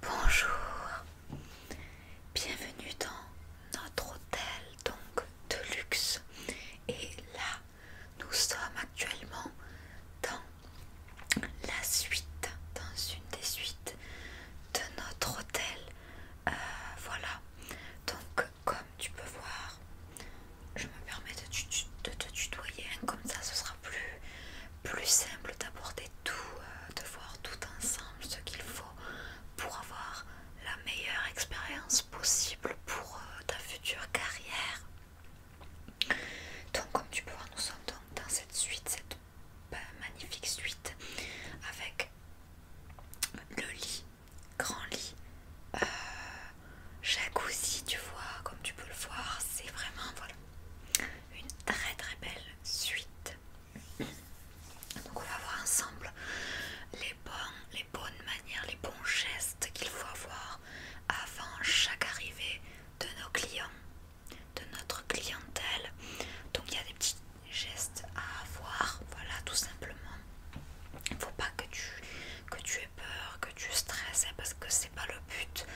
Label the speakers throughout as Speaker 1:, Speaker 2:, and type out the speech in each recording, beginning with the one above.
Speaker 1: Bonjour, bienvenue dans notre hôtel donc de luxe et là nous sommes actuellement dans la suite, dans une des suites de notre hôtel. Euh, voilà, donc comme tu peux voir, je me permets de, te tutoyer, hein, comme ça ce sera plus plus simple d'aborder tout, euh, de voir tout ensemble ce qu'il faut pour avoir la meilleure expérience possible pour euh, ta future carrière. Donc comme tu peux voir, nous sommes donc dans cette suite, cette ben, magnifique suite avec le lit, grand lit, euh, jacuzzi, tu vois, comme tu peux le voir, c'est vraiment, voilà, une très très belle suite. Donc on va voir ensemble les bons, les bonnes manières, les bons gestes qu'il faut avoir avant chaque arrivée de nos clients, de notre clientèle. Donc il y a des petits gestes à avoir, voilà tout simplement. Il faut pas que tu, que tu aies peur, que tu stresses, hein, parce que c'est pas le but.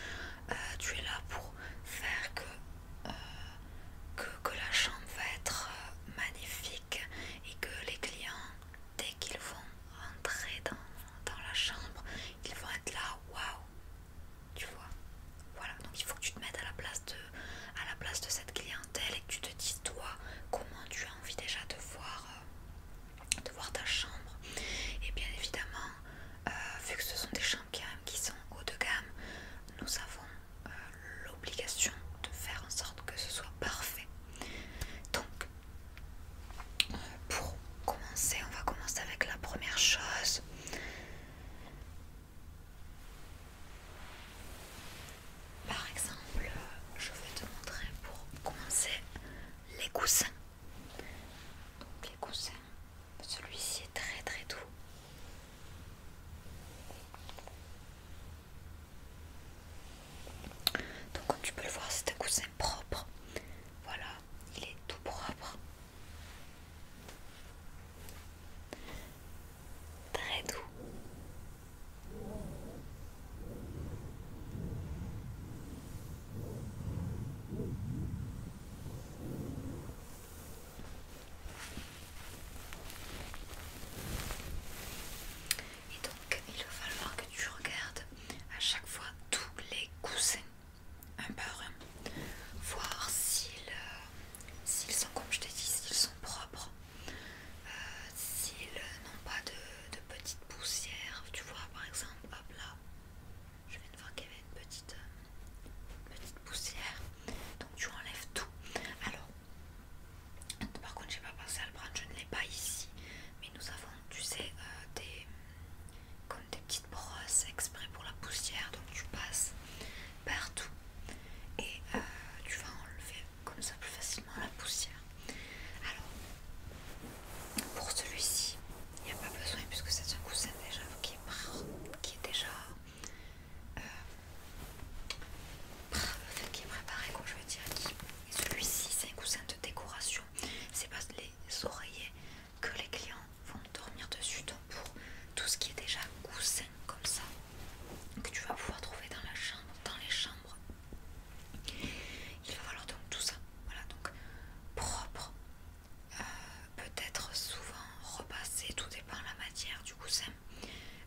Speaker 1: Euh, tu es là pour faire que, euh, que, la chambre va être euh, magnifique et que les clients, dès qu'ils vont rentrer dans, la chambre, ils vont être là, waouh, tu vois. Voilà, donc il faut que tu te mettes à la place de, à la place de cette clientèle et que tu te dises toi comment tu as envie déjà de voir, de voir ta chambre. Et bien évidemment, euh, vu que ce sont des champs qui, qui sont haut de gamme, nous avons euh, l'obligation de faire en sorte que ce soit parfait. Donc, euh, pour commencer, on va commencer avec la première chose. Par exemple, je vais te montrer pour commencer les coussins. Donc les coussins, celui-ci est très très doux. Donc comme tu peux le voir, c'est un coussin propre. Voilà, il est tout propre. Très doux. Et donc, il va falloir que tu regardes à chaque fois tous les coussins, un par un, voir s'ils euh, sont, comme je t'ai dit, s'ils sont propres, euh, s'ils n'ont pas de, petites poussières, tu vois, par exemple, hop là, je viens de voir qu'il y avait une petite, euh, petite poussière, donc tu enlèves tout. Alors, par contre, je n'ai pas pensé à le prendre, je ne l'ai pas ici, mais nous avons, tu sais, euh, des comme des petites brosses exprès pour la poussière, donc tu passes partout et euh, tu vas enlever comme ça plus facilement la poussière. Alors, pour celui-ci, il n'y a pas besoin puisque c'est un coussin déjà qui est, qui est déjà euh, qui est préparé je veux dire et celui-ci c'est un coussin de décoration c'est pas les oreillers que les clients vont dormir dessus donc pour tout ce qui est déjà coussin comme ça que tu vas pouvoir trouver dans la chambre dans les chambres il va falloir donc tout ça, voilà, donc propre, euh, peut-être souvent repasser, tout dépend la matière du coussin,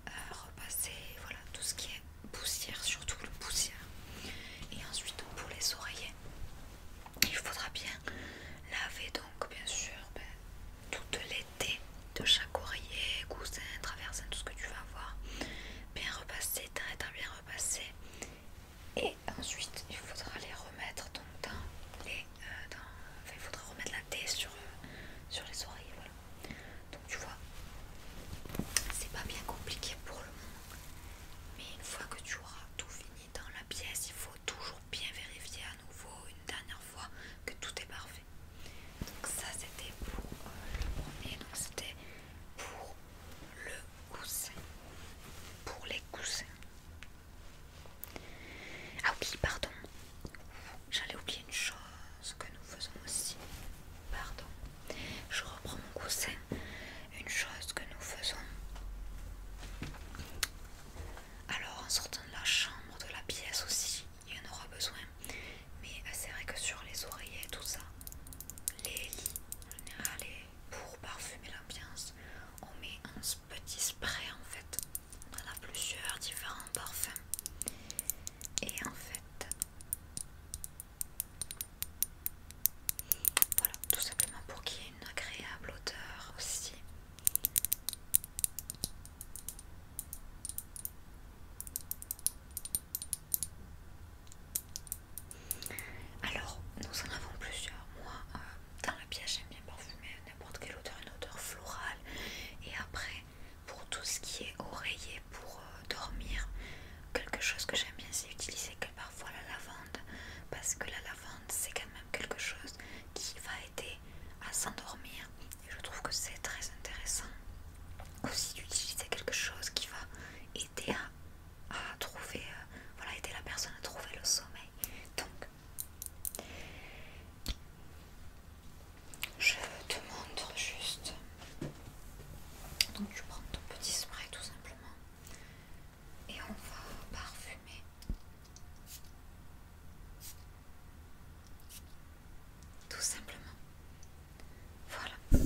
Speaker 1: euh, repasser, voilà, tout ce qui est poussière, surtout le poussière. Et ensuite, pour les oreillers, il faudra bien laver donc, bien sûr, ben, toute l'été de chaque oreiller, coussin, traversin, tout ce que tu vas avoir, bien repasser, très très bien repasser et ensuite il faudra les remettre dans les euh, il faudra remettre la tête sur, euh, sur les oreilles voilà donc tu vois c'est pas bien compliqué pour le moment mais une fois que tu auras tout fini dans la pièce il faut toujours bien vérifier à nouveau une dernière fois que tout est parfait donc ça c'était pour euh, le premier donc c'était pour le coussin pour les coussins. Ah oui, pardon. J'allais oublier une chose que nous faisons aussi. Pardon. Je reprends mon coussin. Une chose que nous faisons. Alors en sortant de la chambre, de la pièce aussi, il y en aura besoin. Mais c'est vrai que sur les oreillers, tout ça, les lits, en général, les pour parfumer l'ambiance, on met un petit spray en fait. On a plusieurs différents parfums. Et en fait, voilà, tout simplement pour qu'il y ait une agréable odeur aussi. Alors, nous en avons plusieurs. Moi, euh, dans la pièce, j'aime bien parfumer n'importe quelle odeur, une odeur florale. Et après, pour tout ce qui est oreiller pour euh, dormir, quelque chose que j'aime bien, c'est utiliser que parfois la lavande. Parce que la lavande, c'est quand même quelque chose qui va aider à s'endormir. Et je trouve que c'est très intéressant aussi d'utiliser quelque chose qui va aider aider à, trouver, euh, voilà, la personne à trouver le sommeil. Donc, je te montre juste. Donc, tu prends ton petit spray tout simplement et on va parfumer. Tout simplement. Voilà.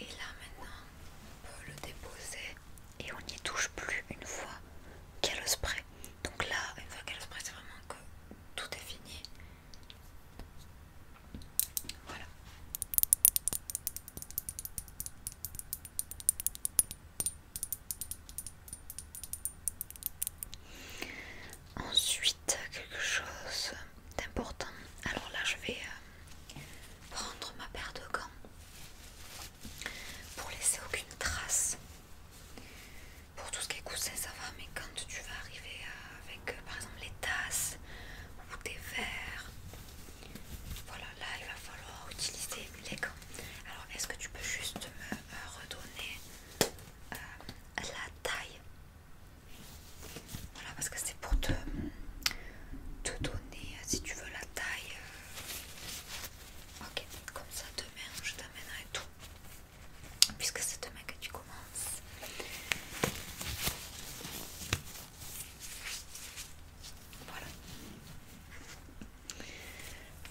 Speaker 1: Et là maintenant, on peut le déposer et on n'y touche plus une fois qu'il y a le spray. Donc là, une fois qu'il y a le spray, c'est vraiment que tout est fini. Voilà. Ensuite, quelque chose d'important. Alors là, je vais euh, prendre ma paire de gants pour laisser aucune trace. Pour tout ce qui est coussin, ça va, mais quand tu vas arriver euh, avec euh, par exemple les tasses ou des verres, voilà, là il va falloir utiliser les gants. Alors, est-ce que tu peux juste me redonner la taille voilà, parce que c'est pour te, donner, euh, si tu veux, la taille. Euh. Ok, comme ça, demain, je t'amènerai tout. Puisque c'est demain que tu commences. Voilà.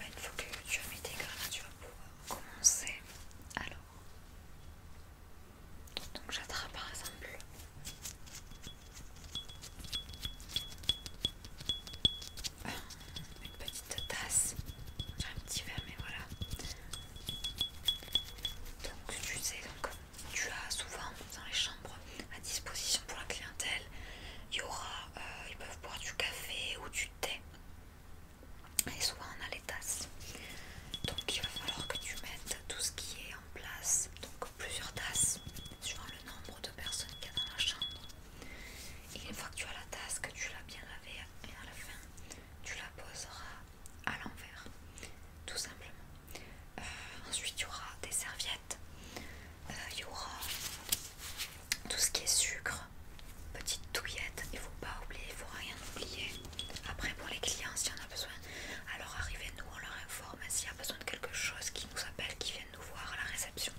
Speaker 1: Une bah, fois que tu as mis tes là tu vas pouvoir commencer. Alors, donc j'attrape par exemple ah, une petite tasse, un petit verre mais voilà. Donc tu sais, tu as souvent dans les chambres à disposition pour la clientèle, euh, ils peuvent boire du café ou du thé et souvent on a les tasses donc il va falloir que tu mettes tout ce qui est en place donc plusieurs tasses suivant le nombre de personnes qu'il y a dans la chambre et une fois que tu as la tasse que tu l'as bien lavée et à la fin tu la poseras à l'envers tout simplement euh, ensuite il y aura des serviettes euh, il y aura tout ce qui est sucre, petite touillette, il ne faut pas oublier, il ne faut rien oublier. Après pour les clients, si on a besoin, alors arrivez-nous, on leur informe s'il y a besoin de quelque chose, qui nous appelle qui viennent nous voir à la réception.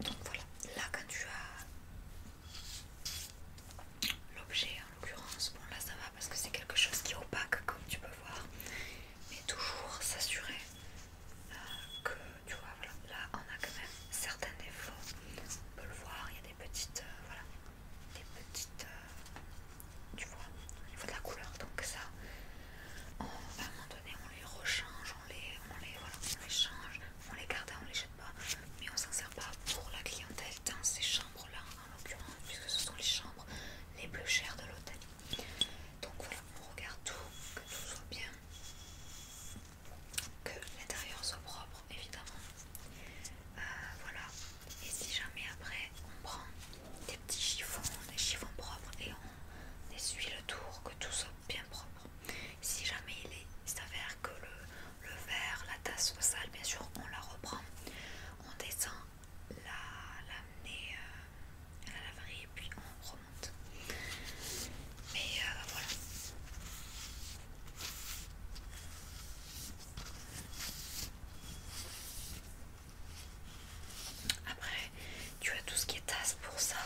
Speaker 1: Donc voilà, là quand tu as l'objet en l'occurrence, bon là ça va parce que c'est quelque chose qui est opaque comme tu peux voir, mais toujours s'assurer euh, que tu vois, Là, on a quand même certains défauts. On peut le voir, il y a des petites, euh, voilà, des petites, euh, tu vois, au niveau de la couleur. Donc ça, à un moment donné, on les rechange, on les, on les, voilà, on les change, on les garde, hein, on les jette pas. Mais on s'en sert pas pour la clientèle dans ces chambres-là, en l'occurrence, puisque ce sont les chambres les plus chères de l'hôtel. Donc voilà, on regarde tout, que tout soit bien que l'intérieur soit propre évidemment euh, voilà et si jamais après on prend des petits chiffons des chiffons propres et on essuie le tour que tout soit bien propre si jamais il s'avère que le, verre la tasse soit sale bien sûr on la reprend on descend la, euh, à la laverie et puis on mais euh, voilà. Après, tu as tout ce qui est tasse pour ça,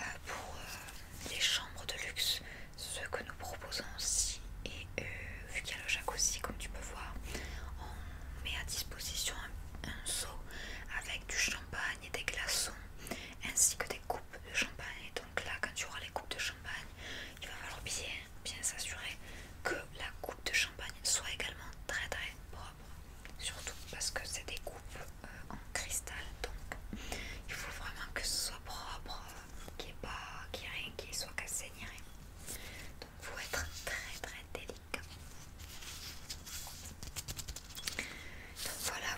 Speaker 1: euh, pour euh, les chambres de luxe, ce que nous proposons aussi. Et vu qu'il y a le jacuzzi, comme tu peux voir, on met à disposition un, un seau avec du champagne et des glaçons ainsi que des coupes de champagne. Donc là, quand tu auras les coupes de champagne, il va falloir bien, bien s'assurer que la coupe de champagne soit également très très propre. Surtout parce que c'est des coupes euh, en cristal, donc il faut vraiment que ce soit propre, qu'il n'y pas, qu'il n'y ait rien qui soit cassé ni rien. Donc il faut être très très délicat. Donc voilà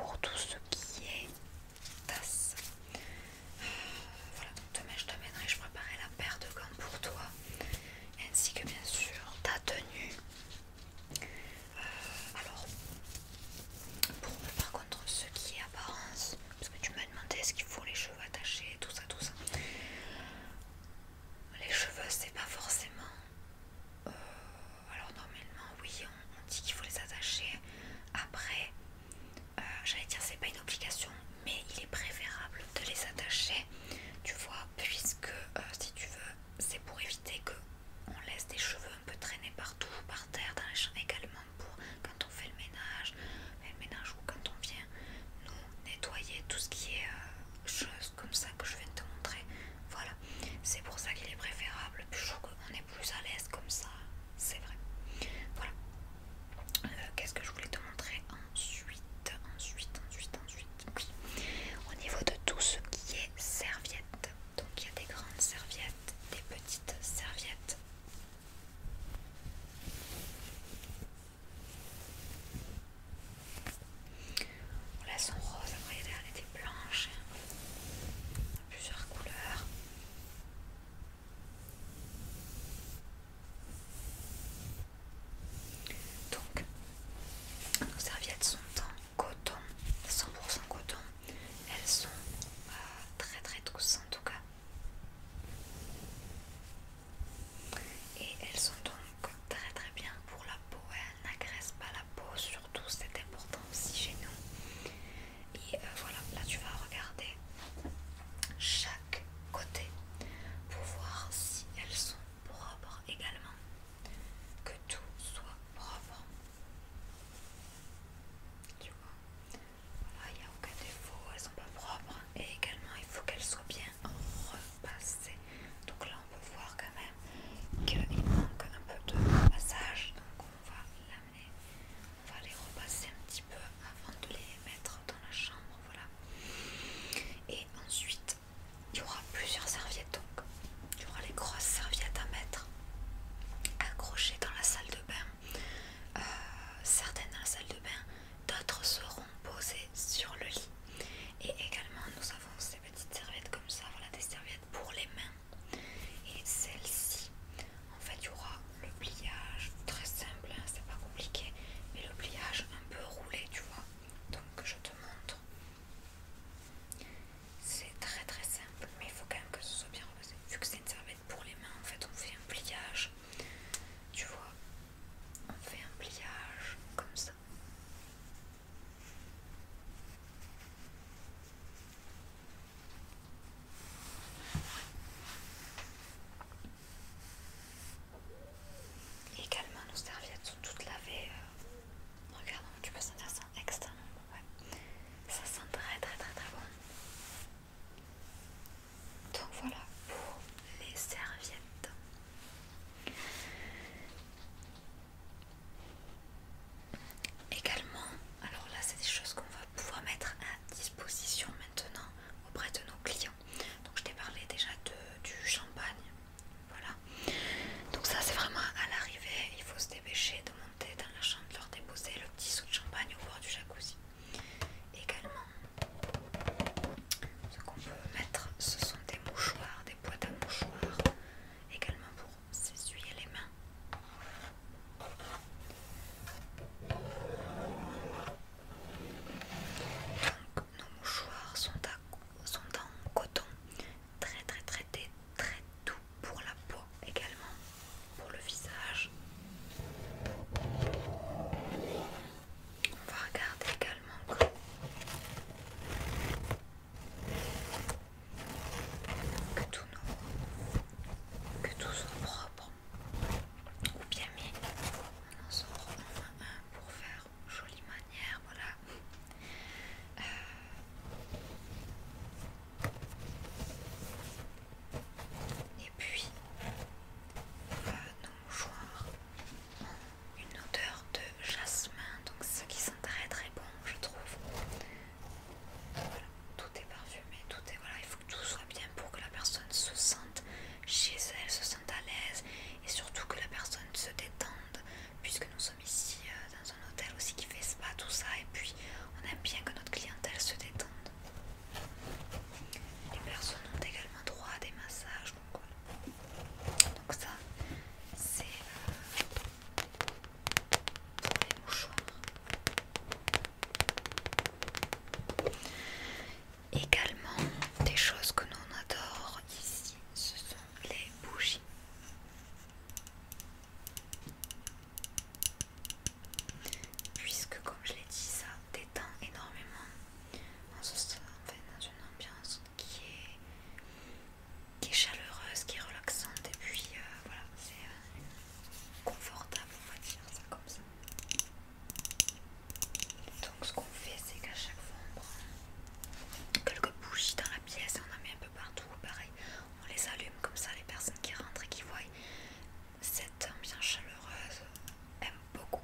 Speaker 1: pour tout ce qui est tasse. voilà, demain je t'amènerai, je préparerai la paire de gants pour toi, ainsi que bien sûr ta tenue. Euh, alors, pour par contre ce qui est apparence, parce que tu m'as demandé est-ce qu'il faut les cheveux attachés, tout ça, tout ça les cheveux c'est pas forcément euh, alors normalement oui on, dit qu'il faut les attacher après euh, j'allais dire c'est pas une obligation mais il est préférable de les attacher tu vois puisque euh, si tu veux c'est pour éviter que on laisse des cheveux un peu traîner partout par terre dans les champs également pour quand on fait le ménage ou quand on vient nous nettoyer tout ce qui est choses comme ça que je viens de te montrer. Voilà, c'est pour ça qu'il est préférable. je trouve qu'on est plus à l'aise comme ça, c'est vrai. Voilà. Euh, qu'est-ce que je voulais te montrer ensuite Ensuite, ensuite, ensuite. Oui. Au niveau de tout ce qui est serviette. Donc il y a des grandes serviettes, des petites serviettes là elles sont roses, après elle était blanche, plusieurs couleurs. Donc, nos serviettes sont en coton, 100% coton. Elles sont euh, très très douces en tout cas et elles sont donc très très bien pour la peau, elles n'agressent pas la peau, surtout c'est important aussi chez nous. Et euh, voilà, là tu vas regarder chaque côté pour voir si elles sont propres également, que tout soit propre. Tu vois, voilà, il n'y a aucun défaut, elles sont pas propres et également il faut qu'elles soient bien repasser. Donc là, on peut voir quand même qu'il manque un peu de passage. Donc on va l'amener, on va les repasser un petit peu avant de les mettre dans la chambre. Voilà. Et ensuite, il y aura plusieurs serviettes. Donc il y aura les grosses serviettes à mettre accrochées dans la salle de bain. Euh, certaines dans la salle de bain, d'autres seront posées sur le lit. Et également, nous avons ces petites serviettes comme ça, voilà des serviettes pour les mains. Et celle-ci, en fait, il y aura le pliage très simple, hein, c'est pas compliqué, mais le pliage un peu roulé, tu vois. Donc, je te montre. C'est très très simple, mais il faut quand même que ce soit bien reposé. Vu que c'est une serviette pour les mains, en fait, on fait un pliage, tu vois, on fait un pliage comme ça. Également, nos serviettes sont toutes lavées. Euh, regarde, tu peux sentir ça extrêmement Ça sent très très très très bon. Donc voilà pour les serviettes. Également, alors là c'est des choses qu'on va pouvoir mettre à disposition maintenant auprès de nos clients. Donc je t'ai parlé déjà du champagne, voilà. Donc ça c'est vraiment à l'arrivée, il faut se dépêcher de monter dans la chambre, de leur déposer le petit sou de champagne au bord du jacuzzi. Également ce qu'on peut mettre, ce sont des mouchoirs, des boîtes à mouchoirs, également pour s'essuyer les mains. Donc nos mouchoirs sont, en coton, très très très très, très doux pour la peau également, pour le visage. On va regarder également. Que tout, nous, que tout soit propre ou bien mis. en pour faire jolie manière. Voilà. Euh. Et puis, nos mouchoirs ont une odeur de jasmin, donc ce qui sent très très bon, je trouve. tout est parfumé, tout est voilà, il faut que tout soit bien pour que la personne se sente chez elle, se sente à l'aise et surtout que la personne se détende, puisque nous sommes ici euh, dans un hôtel aussi qui fait spa, tout ça, et puis on aime bien que notre clientèle se détende. Les personnes ont également droit à des massages. Donc, ça, c'est euh, les mouchoirs. Également, des choses que nous on adore ici, ce sont les bougies. Puisque comme je l'ai dit, ça détend énormément on se sent dans une ambiance qui est, chaleureuse, qui est relaxante et puis euh, voilà, c'est euh, confortable, on va dire ça comme ça. Donc ce qu'on fait c'est qu'à chaque fois on prend quelques bougies dans la pièce et on en met un peu partout, pareil, on les allume comme ça les personnes qui rentrent et qui voient cette ambiance chaleureuse aime beaucoup.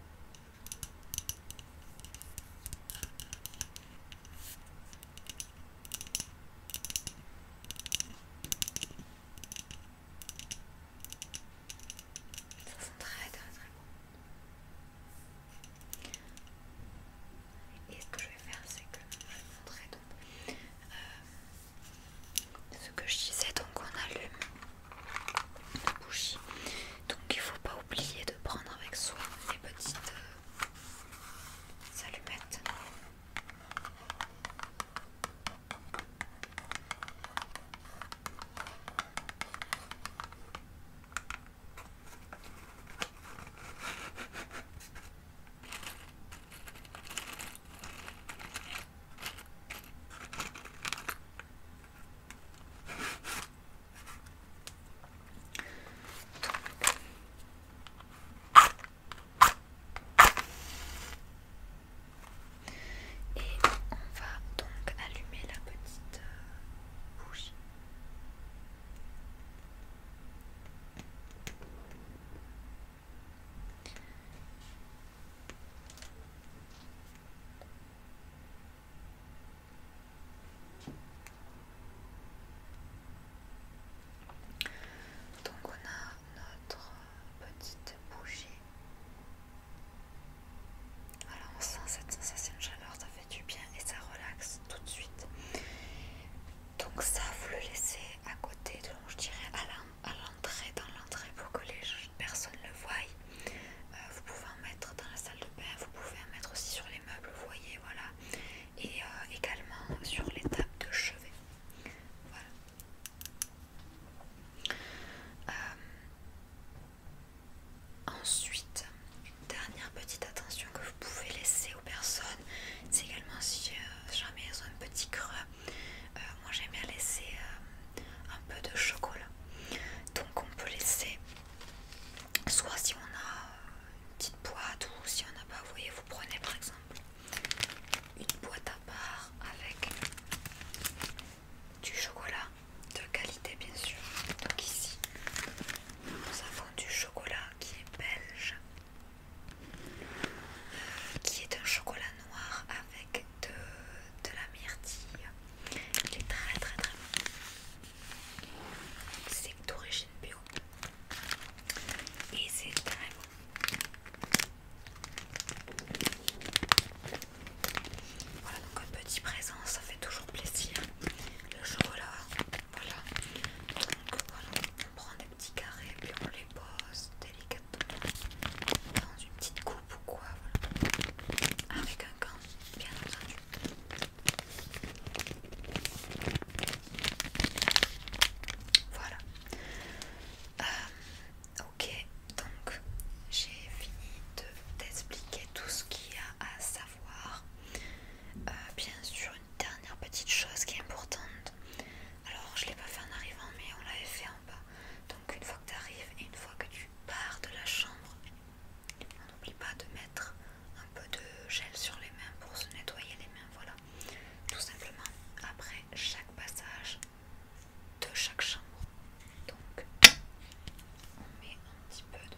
Speaker 1: Ça sent très très très bon. Et ce que je vais faire, c'est que je vais vous montrer euh, ce que je disais donc on allume les bougie donc il faut pas oublier de prendre avec soi les petites euh, allumettes et on va donc allumer la petite euh, bougie. Donc on a notre petite bougie. Voilà, on sent cette sensation de chaleur, ça fait du bien et ça relaxe tout de suite. Donc ça, vous le laissez à côté, de, je dirais à l'arme à l'entrée, dans l'entrée pour que les personnes le voient. Euh, vous pouvez en mettre dans la salle de bain, vous pouvez en mettre aussi sur les meubles, vous voyez, voilà. Et euh, également sur les tables de chevet. Voilà. Euh, ensuite, dernière petite attention que vous pouvez laisser aux personnes, c'est également si jamais elles ont un petit creux, euh, moi j'aime bien laisser euh, un peu de chocolat. Donc on peut laisser soit si on a euh, une petite boîte ou si on n'a pas, vous voyez, vous prenez par exemple une boîte à part avec du chocolat de qualité bien sûr. Donc ici nous avons du chocolat qui est belge, qui est un chocolat noir avec de, de la myrtille. Il est très très très bon. C'est d'origine bio. Et c'est très bon. Voilà donc un petit présent, ça fait toujours plaisir. Le chocolat, voilà. Donc voilà, on petits carrés, puis on les pose délicatement dans une petite coupe ou quoi, voilà. Ah, avec un gant, bien entendu. Voilà. Euh, ok, donc j'ai fini de t'expliquer tout ce qu'il y a à savoir. Euh, bien sûr, une dernière petite chose qui est importante, alors je l'ai pas fait en arrivant mais on l'avait fait en bas. Donc une fois que tu arrives et une fois que tu pars de la chambre, on n'oublie pas de mettre un peu de gel sur les mains pour se nettoyer les mains. Voilà. Tout simplement après chaque passage de chaque chambre. Donc on met un petit peu de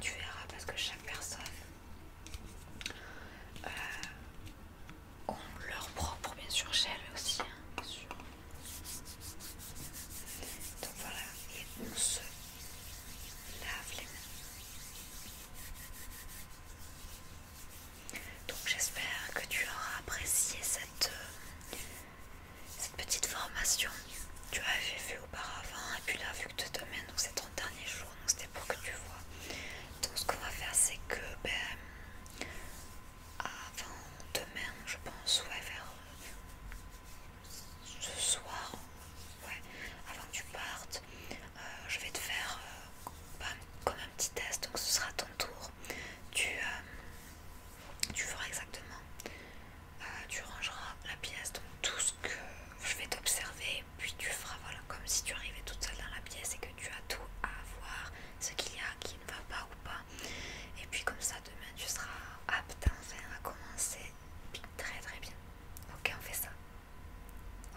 Speaker 1: tu verras parce que chaque personne euh, on ont leur propre bien sûr elle aussi. Hein, Donc voilà, et on se lave les mains. Donc j'espère que tu auras apprécié cette, euh, cette petite formation. Tu avais fait auparavant, et puis là, vu que demain, donc c'est ton dernier jour, donc c'était pour que tu vois. Donc, ce qu'on va faire, c'est que ben, avant demain, je pense, ouais, vers euh, ce soir, ouais, avant que tu partes, euh, je vais te faire euh, ben, comme un petit test. Donc, ce sera ton tour. Tu, tu feras exactement euh, tu rangeras la pièce, donc tout ce que je vais t'observer, puis tu feras voilà, comme si tu arrivais toute seule dans la pièce et que tu as tout à voir, ce qu'il y a qui ne va pas ou pas. Et puis comme ça, demain, tu seras apte enfin à commencer très très bien. Ok, on fait ça.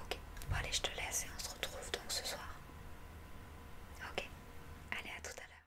Speaker 1: Ok, bon allez, je te laisse et on se retrouve donc ce soir. Ok, allez, à tout à l'heure.